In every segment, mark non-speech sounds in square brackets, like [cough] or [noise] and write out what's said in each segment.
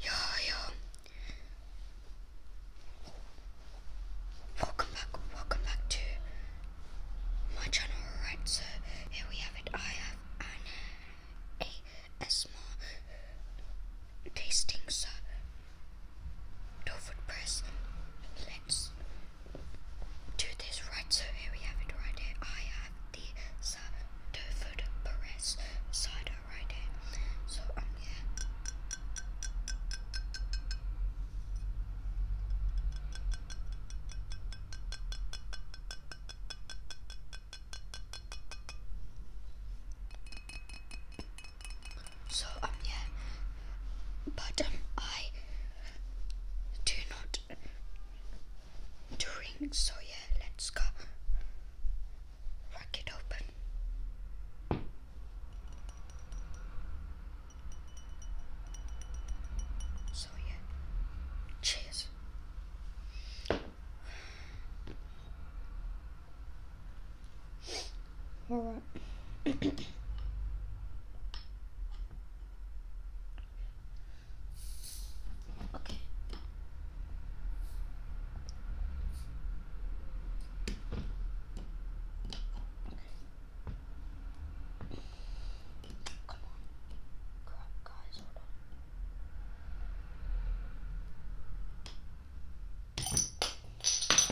Yo, yo. Welcome back, welcome back to my channel. Alright, so here we have it. I have an ASMR tasting, so do press. Let's do this. Right, so here we have it right here. I have the Sanderford Perez cider right here. So um yeah. So um yeah. But um I do not drink so yeah let's go crack it open. So yeah, cheers. All right. [clears throat] Okay. Come on. Crap, guys, hold So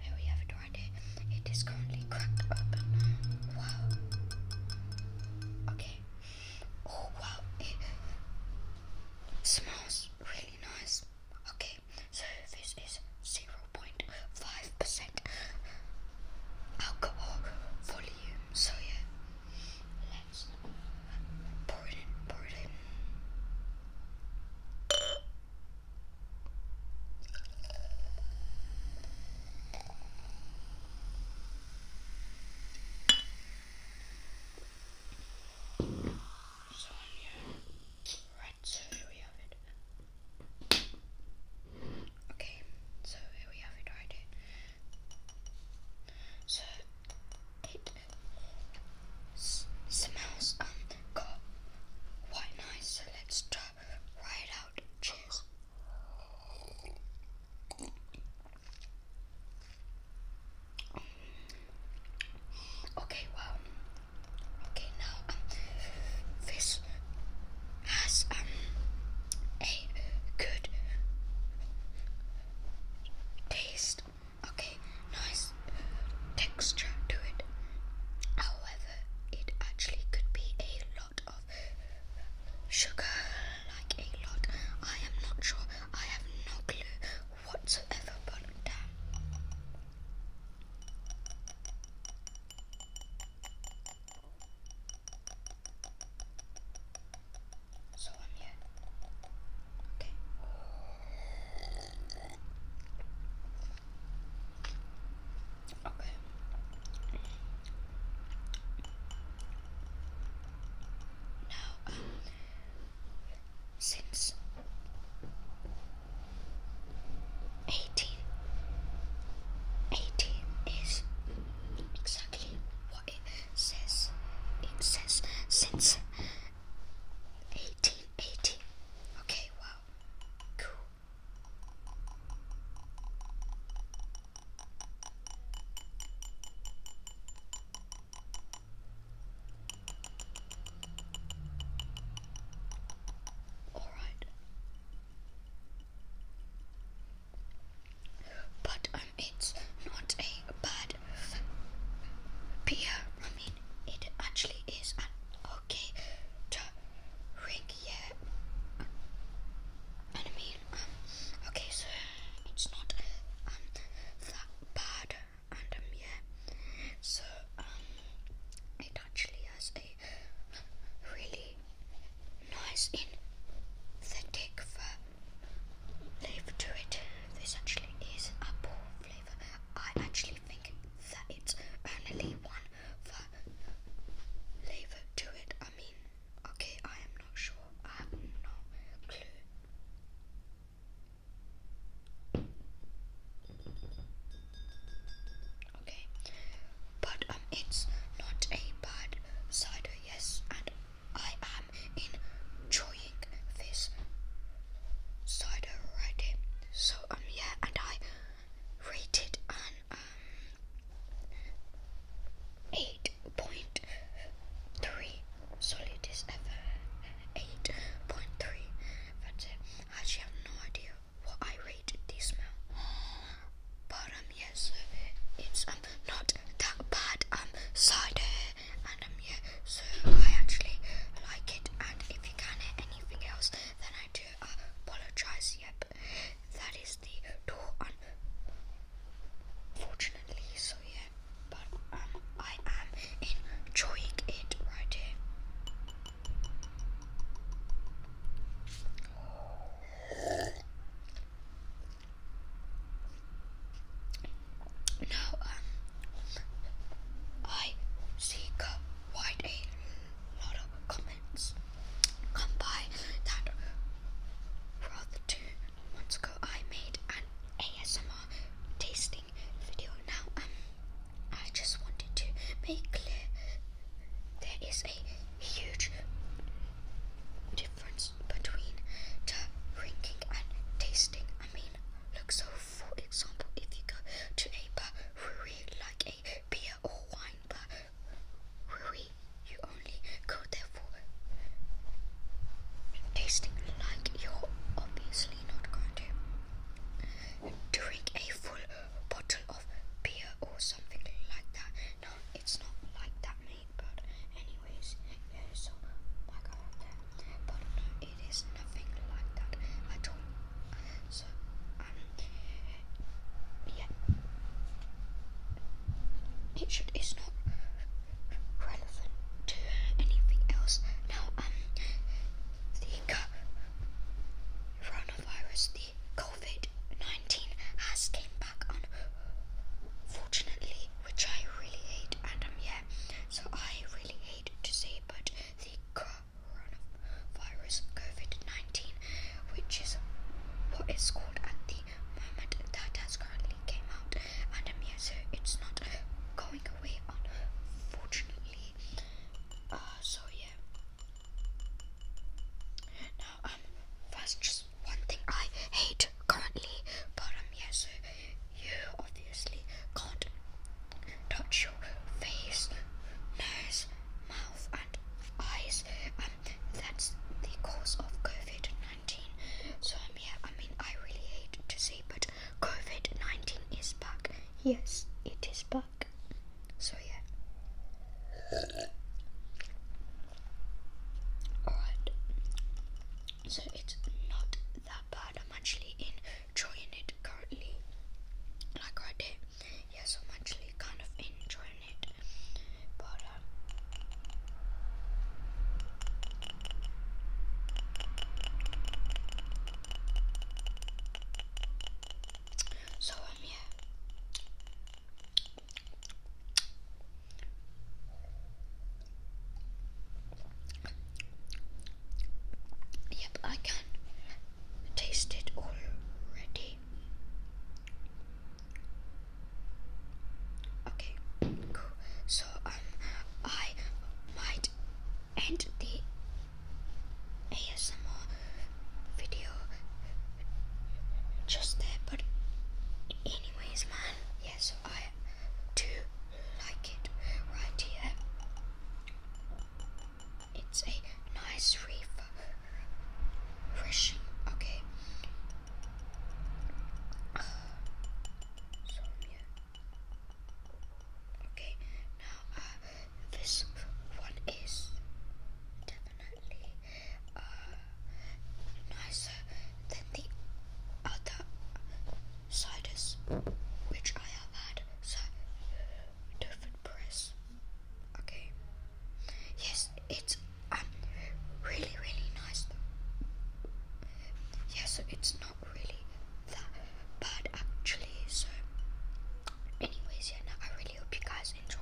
here we have it right It is currently cracked open. Wow. Okay. Oh wow, it smells really nice. Okay, so this is 0.5% alcohol volume. So yeah, let's pour it in, pour it in. So yeah. Right, so here we have it. Okay, so here we have it right here. So it smells um quite nice, so let's try right out. Cheers. Okay, well, okay, now um, this has um, a good taste. Okay, nice texture to it. However, it actually could be a lot of sugar like a lot. I am not sure. I have no clue whatsoever, but damn. So I'm here. Okay. Okay. Now, um, since 18, 18 is exactly what it says. It says since 1880. Okay, wow, cool. All right. But um, it's not a bad beer. I mean, it actually is an okay I mean, okay, so it's not um, that bad. And um, yeah, so um, it actually has a really nice synthetic flavor to it. This actually is apple flavor. I actually think that it's only one flavor to it. I mean. Okay, I am not sure. I have no clue. Okay, but um, it's not a bad cider, yes, and I am enjoying this cider already. So um, yeah, and I rated an um eight point three. Solid ever eight point three. That's it. I actually have no idea what I rated this now. But um yes, it's um not that bad um cider and um yeah, so I actually like it and if you can hear anything else then I do apologize, yep. That is the door unfortunately so yeah but um, I am enjoying it right here. Now, um, I see quite a lot of comments come by that rather two months ago I made an ASMR tasting video. Now um I just wanted to make clear there is a huge difference between drinking and tasting. I mean look so for example if you go to a brewery like a beer or wine brewery you only go there for tasting like you're obviously not going to. Drink a full bottle of beer or something like that. No, it's not like that, mate. But anyways, yeah, so I got But it is nothing like that at all. So um, yeah, it should. It's not relevant to anything else. Now, um, the coronavirus, the COVID 19 has came back, unfortunately, which I really hate. And, um, yeah, so I really hate to say, but the coronavirus, COVID 19, which is what called at the that has currently came out and I'm um, so it's not going away unfortunately uh, so yeah now um that's just one thing I hate currently but um yeah so you obviously can't touch your face nose mouth and eyes um that's the cause of COVID so, um, yeah, I mean, I really hate to say, but COVID 19 is back. Yes, it is back. So, yeah. Alright. So, it's not that bad. I'm actually enjoying it currently. Like right there. Yes, I'm actually kind of enjoying it. But, so I'm here. Yep, I can taste it already. Okay, cool. So um, I might end the ASMR video just there, but anyways, man, yes, I do like it right here. It's a nice reef, refreshing. Okay, Okay, now uh, this one is definitely uh, nicer than the other ciders which I have had. So different press. Okay. Yes, it's um, really, really nice though. Yeah, it's not really that bad actually. So, anyways, yeah, I really hope you guys enjoyed.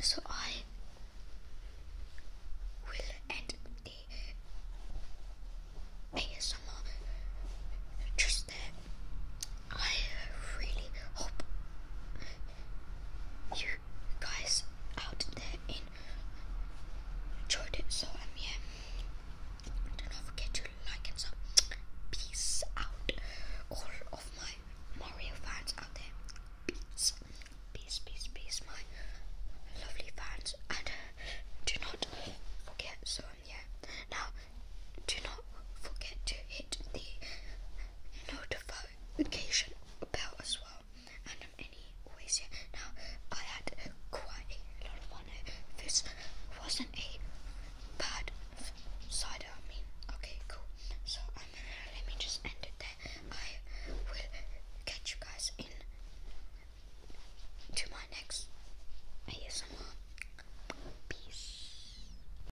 So I will end the ASMR just I really hope you guys out there enjoyed it. So um yeah, don't forget to like and sub. Peace out, all of my Mario fans out there. Peace, peace, peace, peace, my lovely fans, and do not forget. So um, yeah, now do not forget to hit the notification bell as well. And um, anyways, yeah, now I had quite a lot of fun. This wasn't a bad side. I mean, okay, cool. So um, let me just end it there. I will catch you guys in to my next ASMR. Peace.